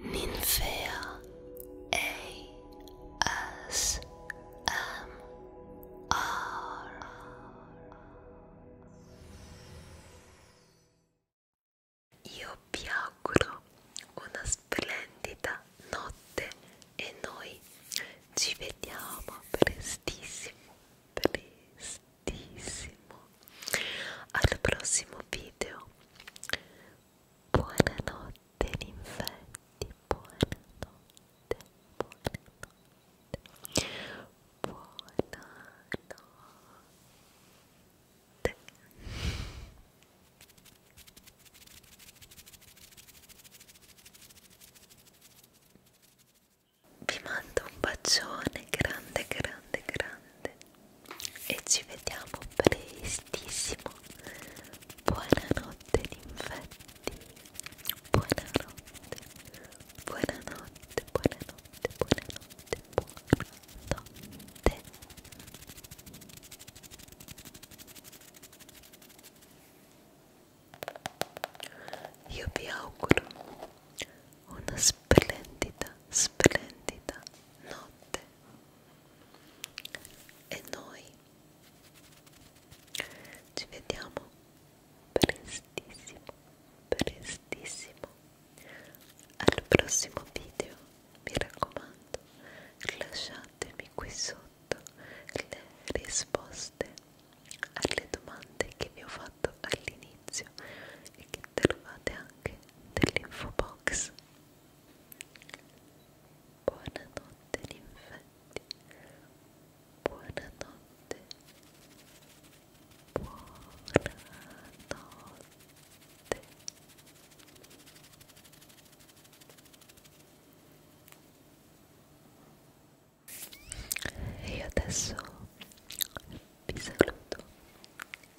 Ninfea ASMR Io vi auguro una splendida notte e noi ci vediamo prestissimo, prestissimo al prossimo video buonanotte ninfetti buonanotte buonanotte buonanotte vi mando un bacione grande grande grande e ci vediamo prestissimo buonanotte infetti buonanotte buonanotte buonanotte buonanotte buonanotte io vi auguro una splendida splendida notte e noi ci vediamo prestissimo prestissimo al prossimo video mi raccomando lasciatemi qui sotto le risposte alle domande che vi ho fatto all'inizio e che trovate anche dell'info box. Buonanotte ninfetti, buonanotte, buonanotte. E io adesso vi saluto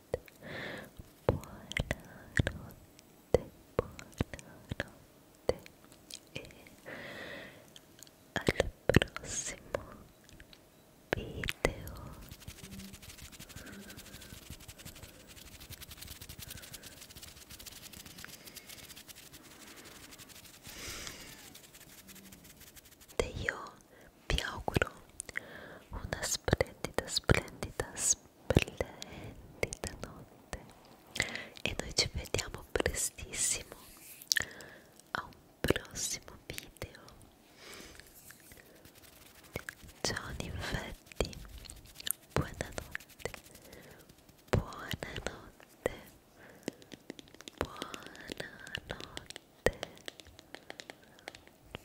Buena noche, buena noche, y al próximo video. Te yo vi auguro una splendida, splendida, splendida notte e noi ci vediamo prestissimo a un prossimo video ciao infatti buonanotte buonanotte buonanotte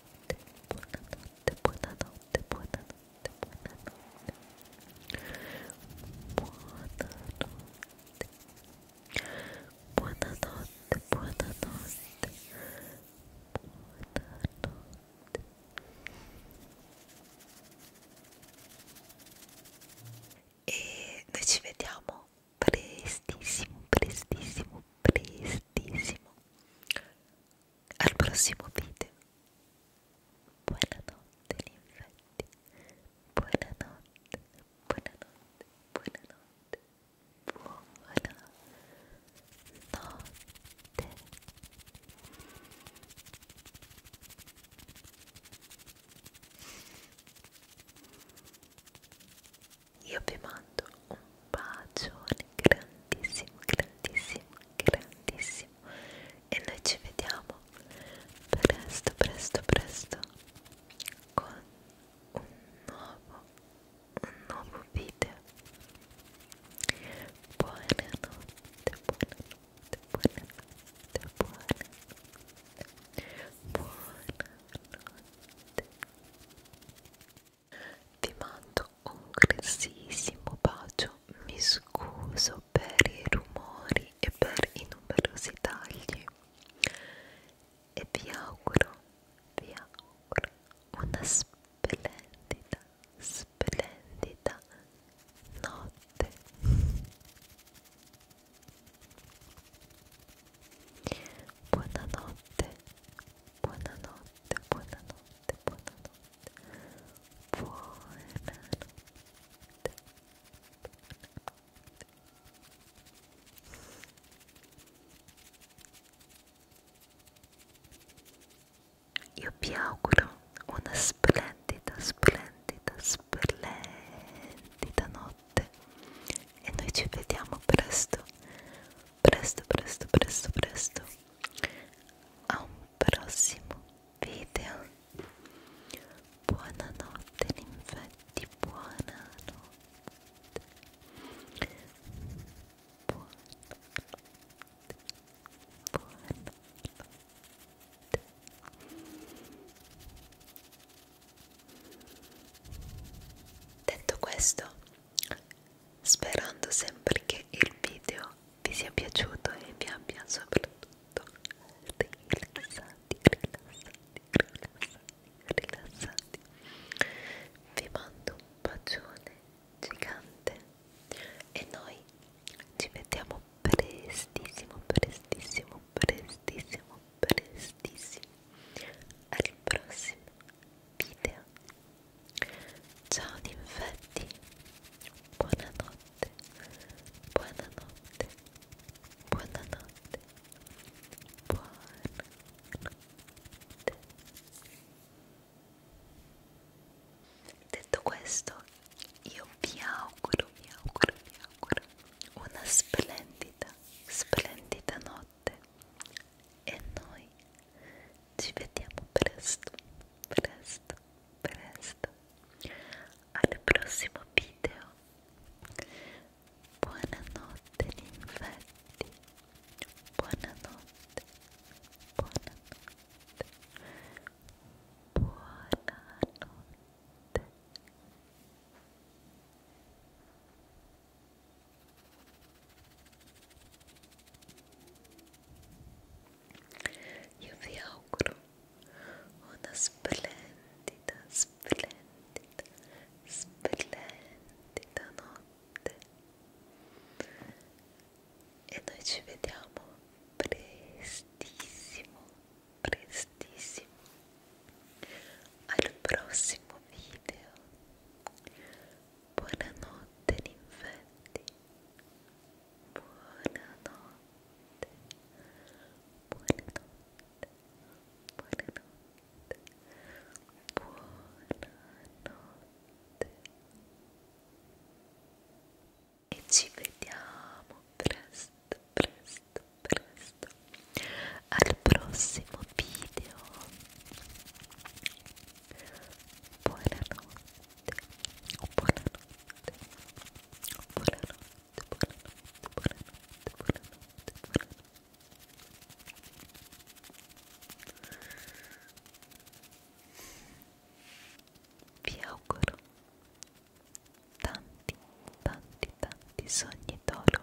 buonanotte, buonanotte, buonanotte, buonanotte, buonanotte, buonanotte, buonanotte, buonanotte, buonanotte. E noi ci vediamo prestissimo, prestissimo, prestissimo al prossimo video buonanotte l'infetti buonanotte buonanotte buonanotte buonanotte io vi mando un bacione grandissimo, grandissimo, grandissimo e noi ci vediamo presto, presto, presto con un nuovo, un nuovo video. Buonanotte, buonanotte, buonanotte, buonanotte, buonanotte. Vi mando un grossissimo bacio, mi scuso per i rumori e per i numerosi tagli e vi auguro, vi auguro una splendida, splendida notte. Buonanotte, buonanotte buonanotte, buonanotte, buonanotte, buonanotte. Io vi auguro una splendida, splendida, splendida notte e noi ci vediamo presto presto presto presto presto a un prossimo video buonanotte ninfetti buonanotte buonanotte buonanotte detto questo sperando sempre che il video vi sia piaciuto e vi abbia soprattutto rilassati, rilassati, rilassati, rilassati. Vi mando un bacione gigante e noi ci vediamo prestissimo, prestissimo, prestissimo, prestissimo al prossimo video. Ciao d'infetti, buonanotte, buonanotte, buonanotte, buonanotte. Detto questo, io vi auguro, vi auguro, vi auguro una splendida, splendida notte buonanotte e noi ci vediamo presto, presto, presto al prossimo video. Buonanotte ninfetti, buonanotte, buonanotte, buonanotte. Io vi auguro una splendida, splendida, splendida notte e noi ci vediamo prestissimo, prestissimo al prossimo video Buonanotte ninfetti. Buonanotte. Buonanotte. Buonanotte. Buonanotte. E ci vediamo presto, presto, presto al prossimo video. Vi auguro tanti, tanti, tanti sogni d'oro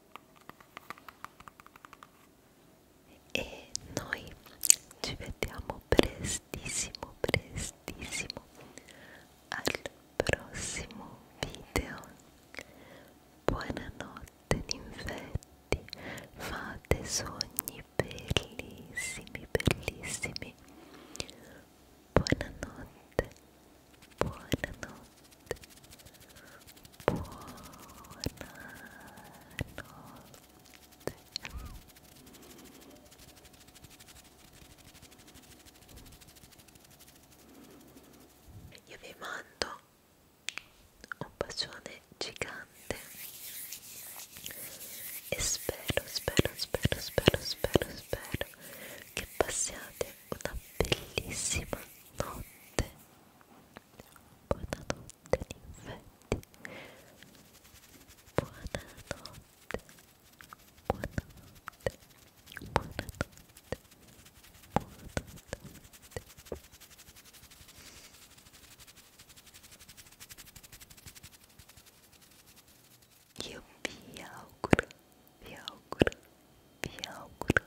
e noi ci vediamo prestissimo prestissimo al prossimo video buonanotte ninfetti fate sogni bellissimi bellissimi buonanotte buonanotte io vi mando un bacione gigante e spero, spero, spero, spero, spero, spero che passiate una bellissima notte Boa noite, Nivete. Boa noite. Boa noite. Boa noite. Boa noite. Eu vi algo, vi algo, vi auguro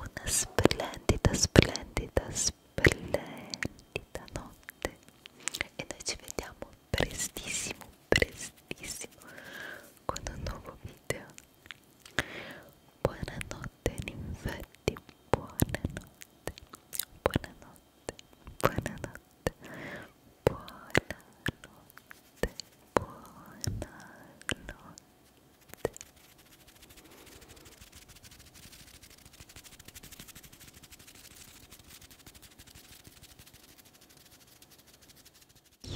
una splendida, splendida, splendida notte e noi ci vediamo prestissimo, prestissimo con un nuovo video. Buonanotte ninfetti, buonanotte, buonanotte, buonanotte, buonanotte, buonanotte.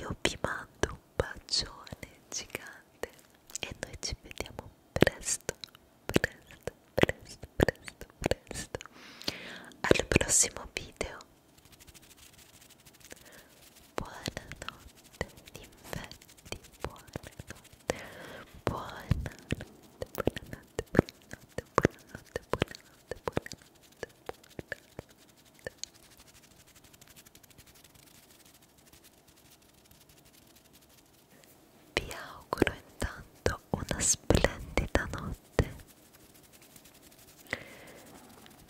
Io vi mando un bacione gigante e noi ci vediamo presto, presto, presto, presto, presto. Al prossimo video. Buonanotte, infetti, buonanotte. Buonanotte, buonanotte, buonanotte, buonanotte, buonanotte, buonanotte, buonanotte. Vi auguro intanto una splendida notte.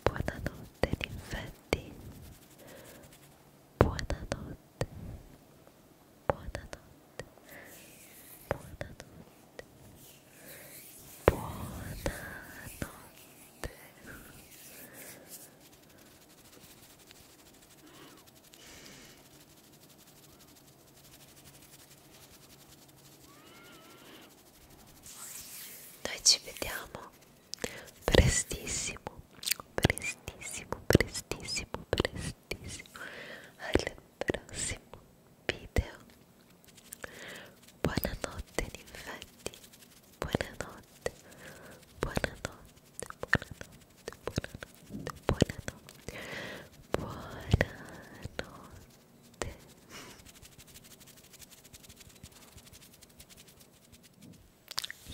Buonanotte, infetti buonanotte, buonanotte, buonanotte, buonanotte. Noi ci vediamo prestissimo prestissimo prestissimo prestissimo al prossimo video buonanotte infatti buonanotte buonanotte buonanotte buonanotte buonanotte buonanotte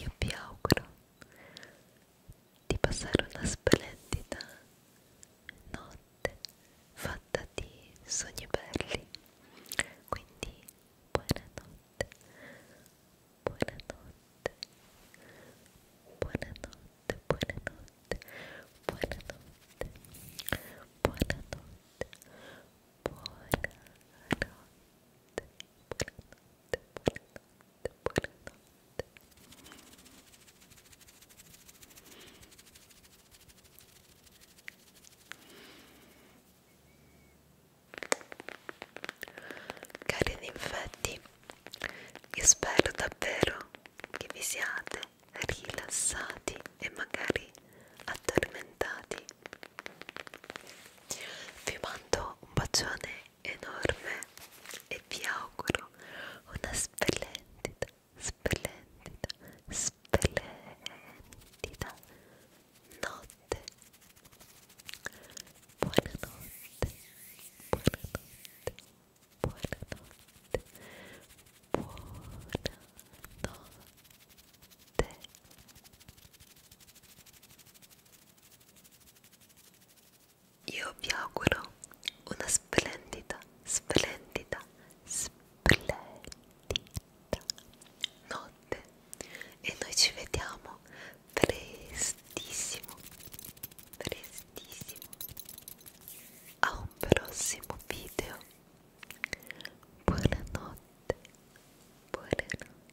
io vi auguro di passare una splendida notte fatta di sogni belli quindi buonanotte buonanotte buonanotte buonanotte buonanotte buonanotte buonanotte Cari infatti, io spero davvero che vi siate rilassati e magari addormentati vi mando un bacione enorme e vi auguro una splendida, splendida, splendida notte. Buonanotte, buonanotte, buonanotte, buonanotte. Io vi auguro una splendida, splendida, splendida notte e noi ci vediamo prestissimo, prestissimo a un prossimo video. Buonanotte, buonanotte.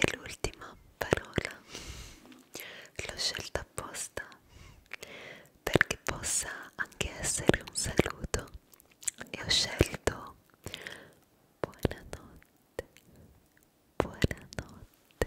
e l'ultima parola l'ho scelta apposta perché possa anche essere un saluto e ho scelto buonanotte buonanotte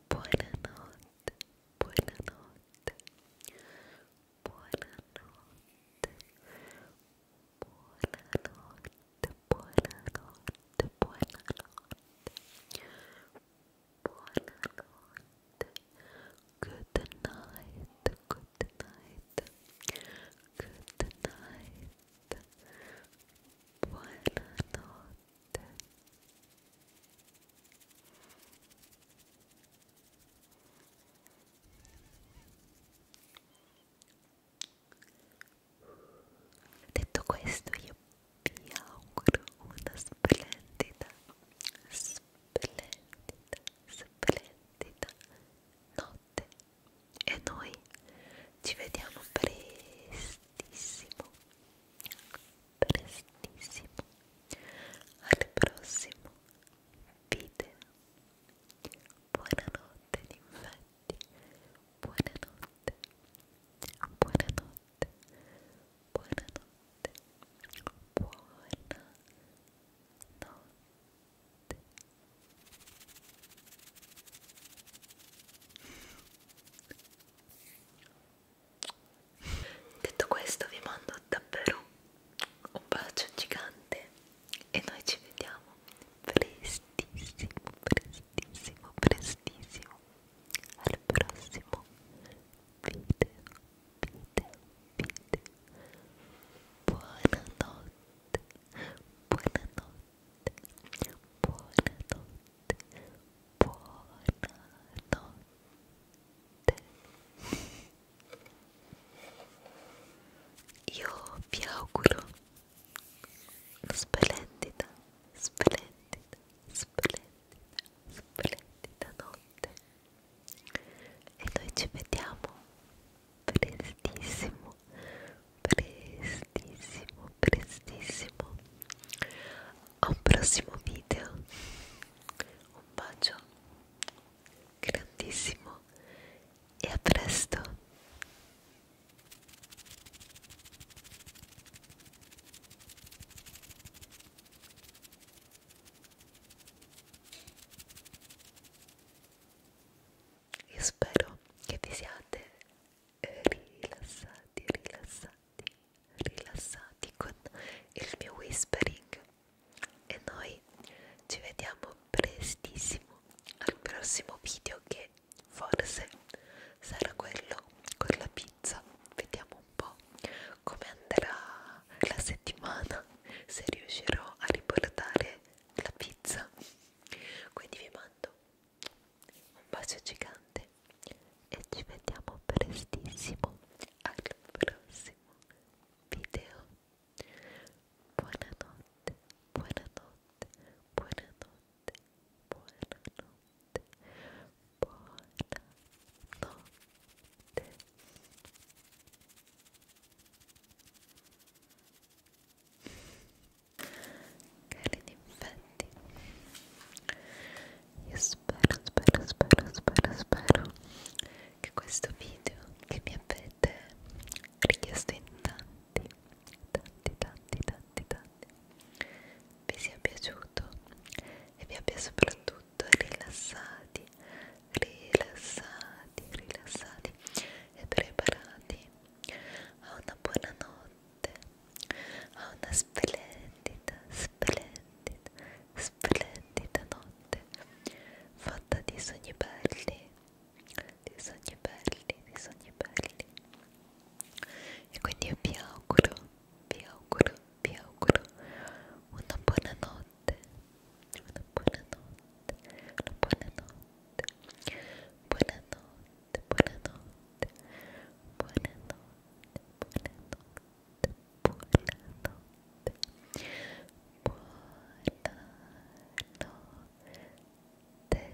Buonanotte, buonanotte, buonanotte, buonanotte, buonanotte, buonanotte, buonanotte, good night, good night, good night, buonanotte. Detto questo io vi auguro una splendida, splendida, splendida notte e noi ci vediamo prestissimo prestissimo al prossimo video buonanotte infatti buonanotte buonanotte buonanotte buonanotte Detto questo vi mando davvero un bacio gigante e noi ci vediamo prestissimo, prestissimo, prestissimo al prossimo video, video, video. Buonanotte, buonanotte buonanotte, buonanotte. Io vi auguro splendida, splendida, splendida, splendida notte. E noi ci vediamo prestissimo prestissimo, prestissimo a un prossimo video. Un bacio grandissimo e a presto. Io spero che vi siate rilassati rilassati, rilassati, rilassati con il mio whispering e noi ci vediamo prestissimo al prossimo video che forse sarà quello con la pizza vediamo un po' come andrà la settimana se riuscirò a riportare la pizza quindi vi mando un bacio gigante e ci vediamo prestissimo al prossimo video buonanotte buonanotte buonanotte buonanotte buonanotte carini infetti io spero spero spero spero spero che questo video che mi avete richiesto in tanti tanti tanti tanti tanti vi sia piaciuto e vi abbia soprattutto rilassati rilassati rilassati e preparati a una buona notte notte a una splendida, splendida, splendida notte fatta di sogni belli, di sogni belli, di sogni belli e quindi io vi auguro, vi auguro, vi auguro una buona notte, una buona notte, una buona notte, buona notte buonanotte, buonanotte, buonanotte, buonanotte, buonanotte, buonanotte, buonanotte.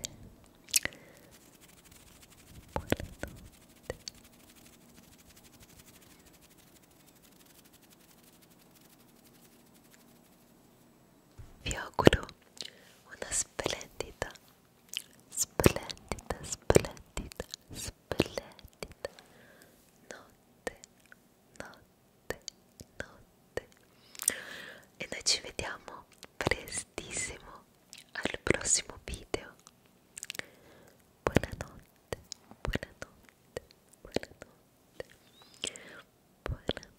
Vi auguro una splendida splendida, splendida, splendida notte, notte, notte e noi ci vediamo prestissimo al prossimo video buonanotte, buonanotte, buonanotte buonanotte,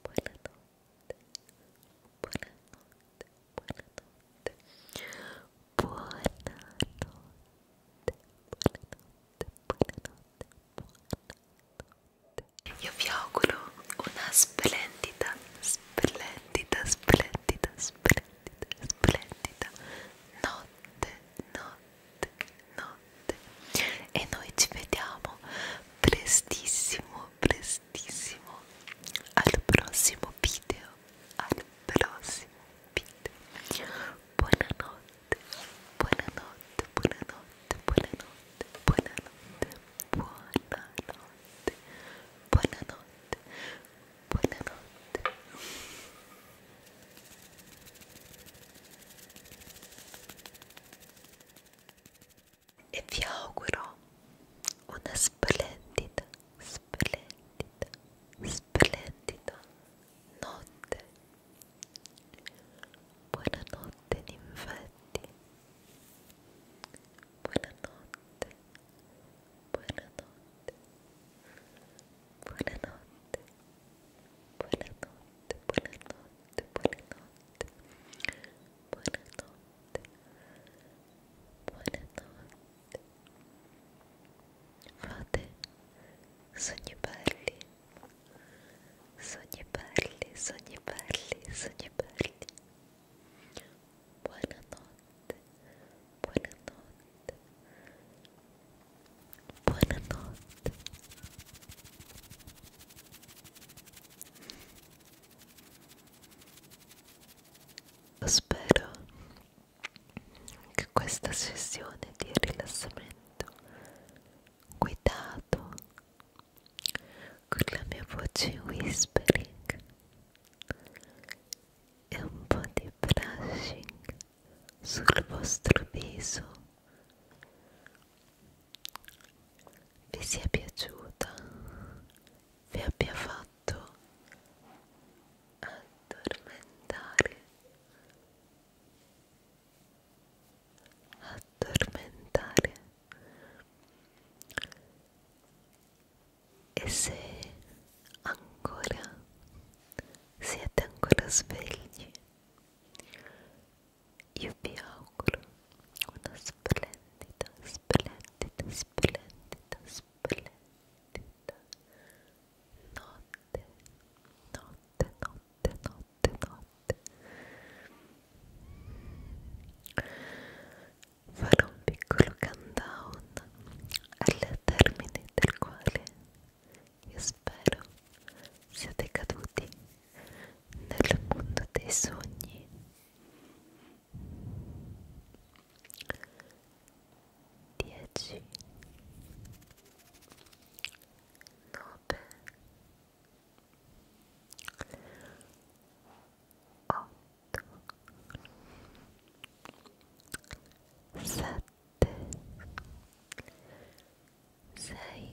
buonanotte buonanotte, buonanotte, buonanotte, buonanotte, buonanotte, buonanotte. Io vi auguro una splendida, splendida, splendida, splendida, splendida notte, notte, notte. E noi ci vediamo prestissimo prestísimo al próximo video al próximo video buenas noches buenas noches buenas noches buenas noches e vi auguro una splendida, splendida, splendida notte. Buonanotte ninfetti. Buonanotte. Buonanotte. Buonanotte. Buonanotte. Buonanotte. Buonanotte. Buonanotte. Buonanotte. Fate sogni belli. Sogni belli, sogni belli, sogni belli. Buonanotte. Buonanotte. Buonanotte. Spero che questa sessione di rilassamento guidato con la mia voce in whispering e un po' di brushing sul vostro viso vi sia piaciuta, vi abbia fatto addormentare, addormentare e se ancora siete ancora svegli io vi auguro una splendida, splendida, splendida, splendida notte, notte, notte, notte, notte. Farò un piccolo countdown al termine del quale io spero siate caduti nel mondo dei sogni dieci nove otto sette sei